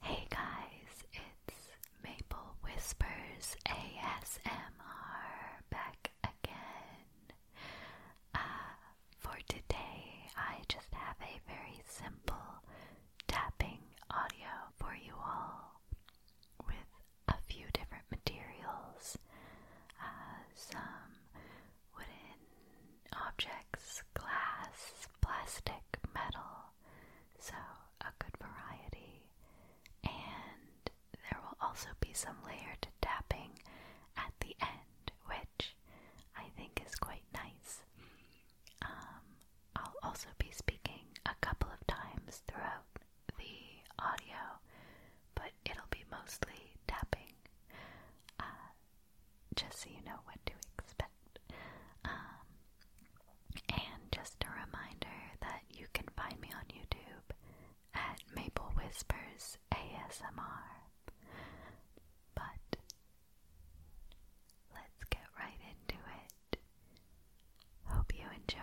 Hey guys, it's Maple Whispers ASMR back again. Uh, for today, I just have a very simple tapping audio for you all with a few different materials. Uh, some wooden objects glass, plastic, metal, so a good variety. And there will also be some layered tapping at the end, which I think is quite nice. Um, I'll also be speaking a couple of times throughout the audio, but it'll be mostly tapping. Uh, just so you know what to expect. Um, and just a reminder that you can find me on YouTube at Maple Whispers ASMR. But let's get right into it. Hope you enjoy.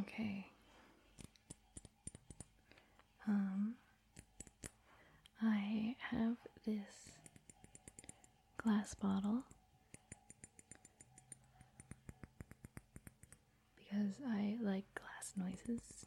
Okay. Um, I have this glass bottle because I like glass noises.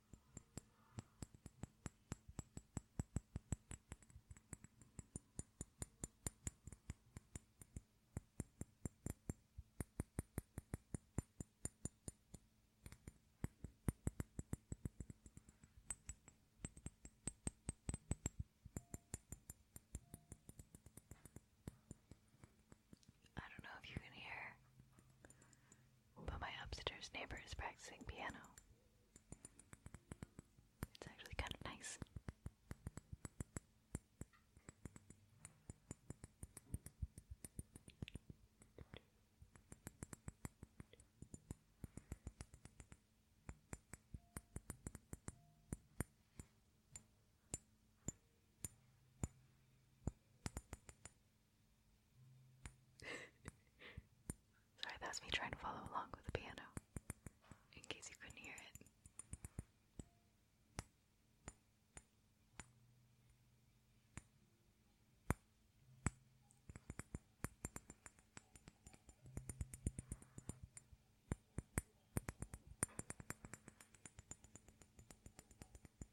I don't know if you can hear but my upstairs neighbor is practicing piano. It's actually kind of nice. Sorry, that was me trying to follow along with the piano, in case you couldn't hear it.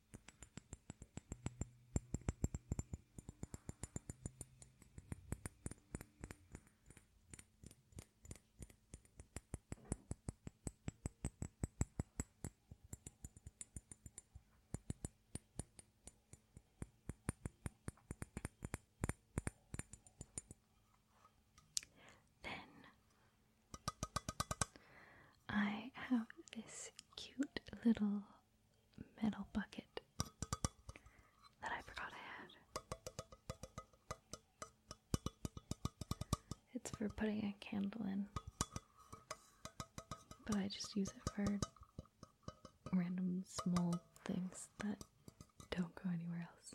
Then I have this cute little metal bucket that I forgot I had. It's for putting a candle in, but I just use it for random small things that don't go anywhere else.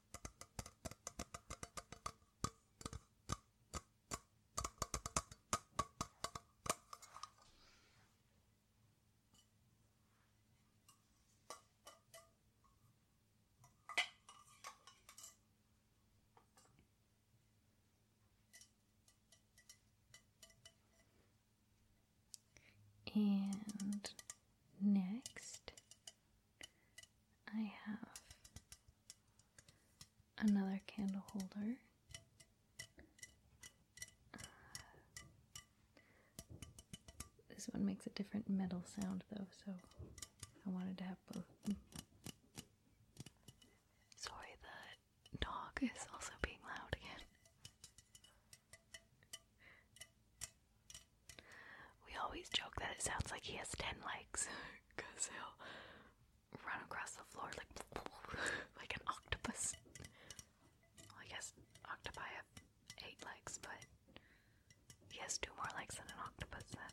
And next, I have another candle holder. Uh, this one makes a different metal sound though, so I wanted to have both. Sorry, the dog is also being loud again. We always joke that it sounds like he has ten legs, because he'll run across the floor like like an octopus. Well, I guess octopi have eight legs, but he has two more legs than an octopus then.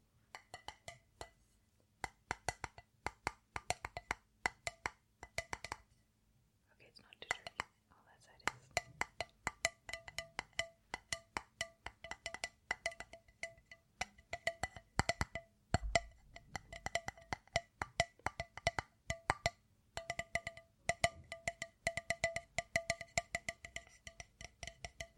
Okay, it's not too dirty. All that side is.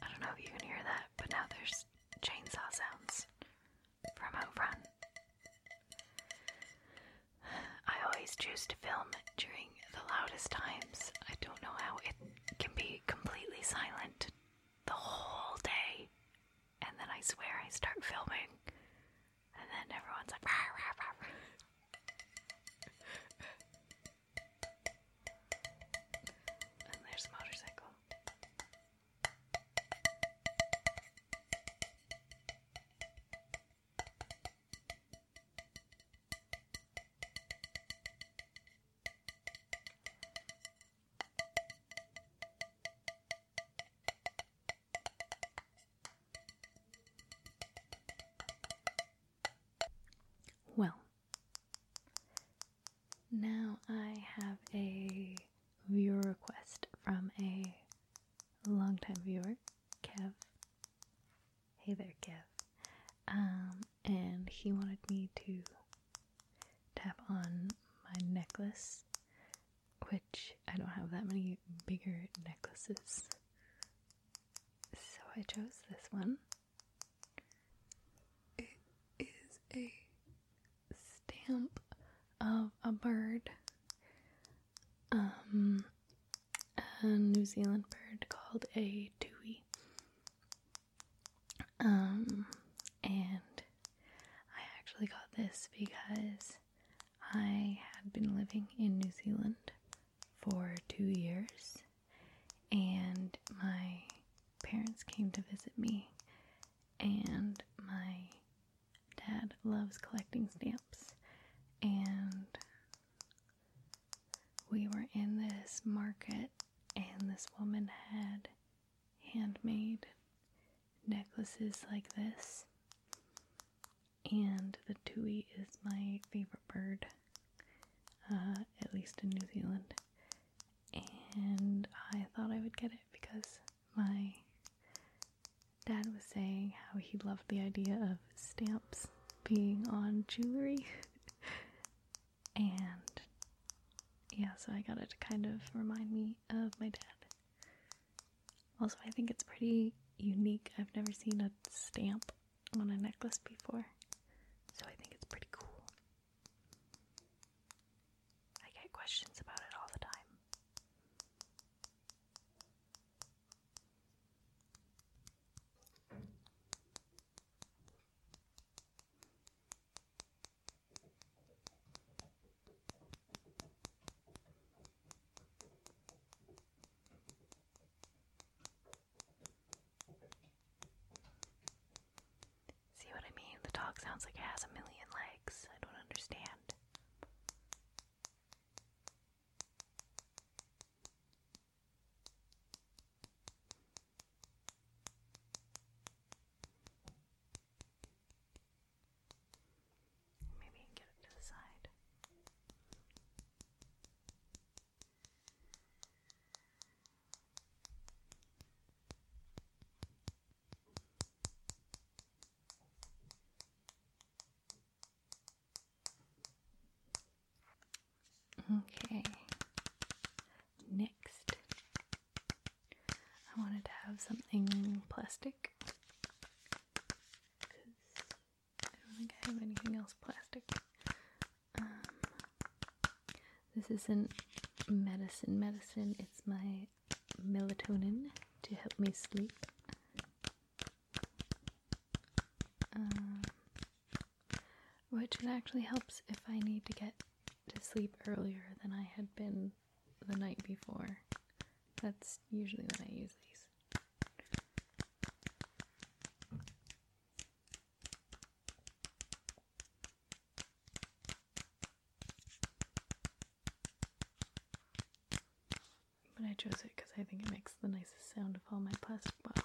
I don't know if you can hear that, but now there's chainsaw sounds from out front. I always choose to film during singing the loudest times. I don't know how it can be completely silent the whole day. And then I swear I start filming. And then everyone's like, rah, rah, rah, rah. and there's a motorcycle. Well, now I have a viewer request from a longtime viewer, Kev. Hey there, Kev. Um, and he wanted me to tap on my necklace, which I don't have that many bigger necklaces. So I chose this one. It is a stamp of a bird. Um, a New Zealand bird called a tui. Um, and I actually got this because I had been living in New Zealand for two years, and my parents came to visit me, and my dad loves collecting stamps, and we were in this market, and this woman had handmade necklaces like this. And the tui is my favorite bird, uh, at least in New Zealand. And I thought I would get it because my dad was saying how he loved the idea of stamps being on jewelry. and yeah, so I got it to kind of remind me of my dad. Also, I think it's pretty unique. I've never seen a stamp on a necklace before, so I think it's pretty cool. I get questions about it all the time. See what I mean? The dog sounds like it has a million legs. I don't understand. Maybe get it to the side. Okay. Okay, next, I wanted to have something plastic because I don't think I have anything else plastic. Um, this isn't medicine, medicine, it's my melatonin to help me sleep. Um, which it actually helps if I need to get to sleep earlier than I had been the night before. That's usually when I use these. But I chose it because I think it makes the nicest sound of all my plastic balls.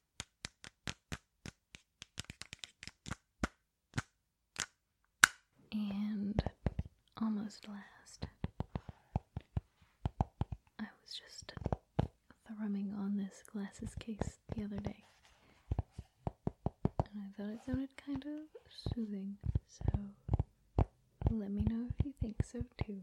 And almost last, I was just thrumming on this glasses case the other day. And I thought it sounded kind of soothing, so let me know if you think so too.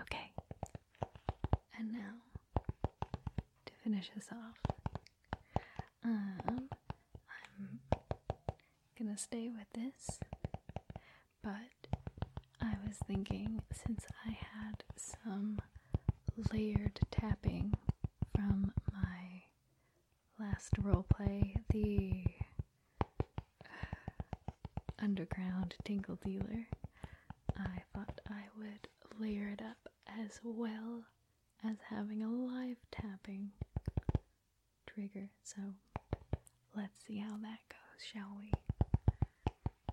Okay, and now to finish this off, um, I'm gonna stay with this, but I was thinking since I had some layered tapping from my last roleplay, the uh, underground tingle dealer. I thought I would layer it up as well as having a live tapping trigger. So let's see how that goes, shall we?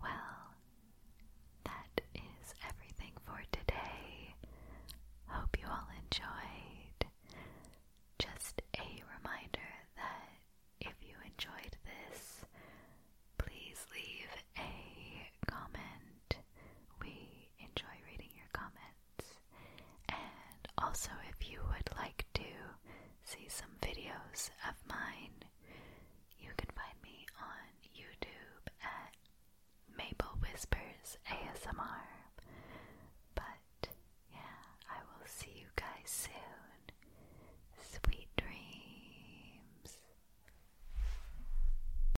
Well, that is everything for today. Hope you all enjoyed. Just a reminder that if you enjoyed this, please leave a comment. We enjoy reading your comments. And also, if you would like to see some videos of mine, you can find me on YouTube at Maple Whispers ASMR. But yeah, I will see you guys soon. Sweet dreams.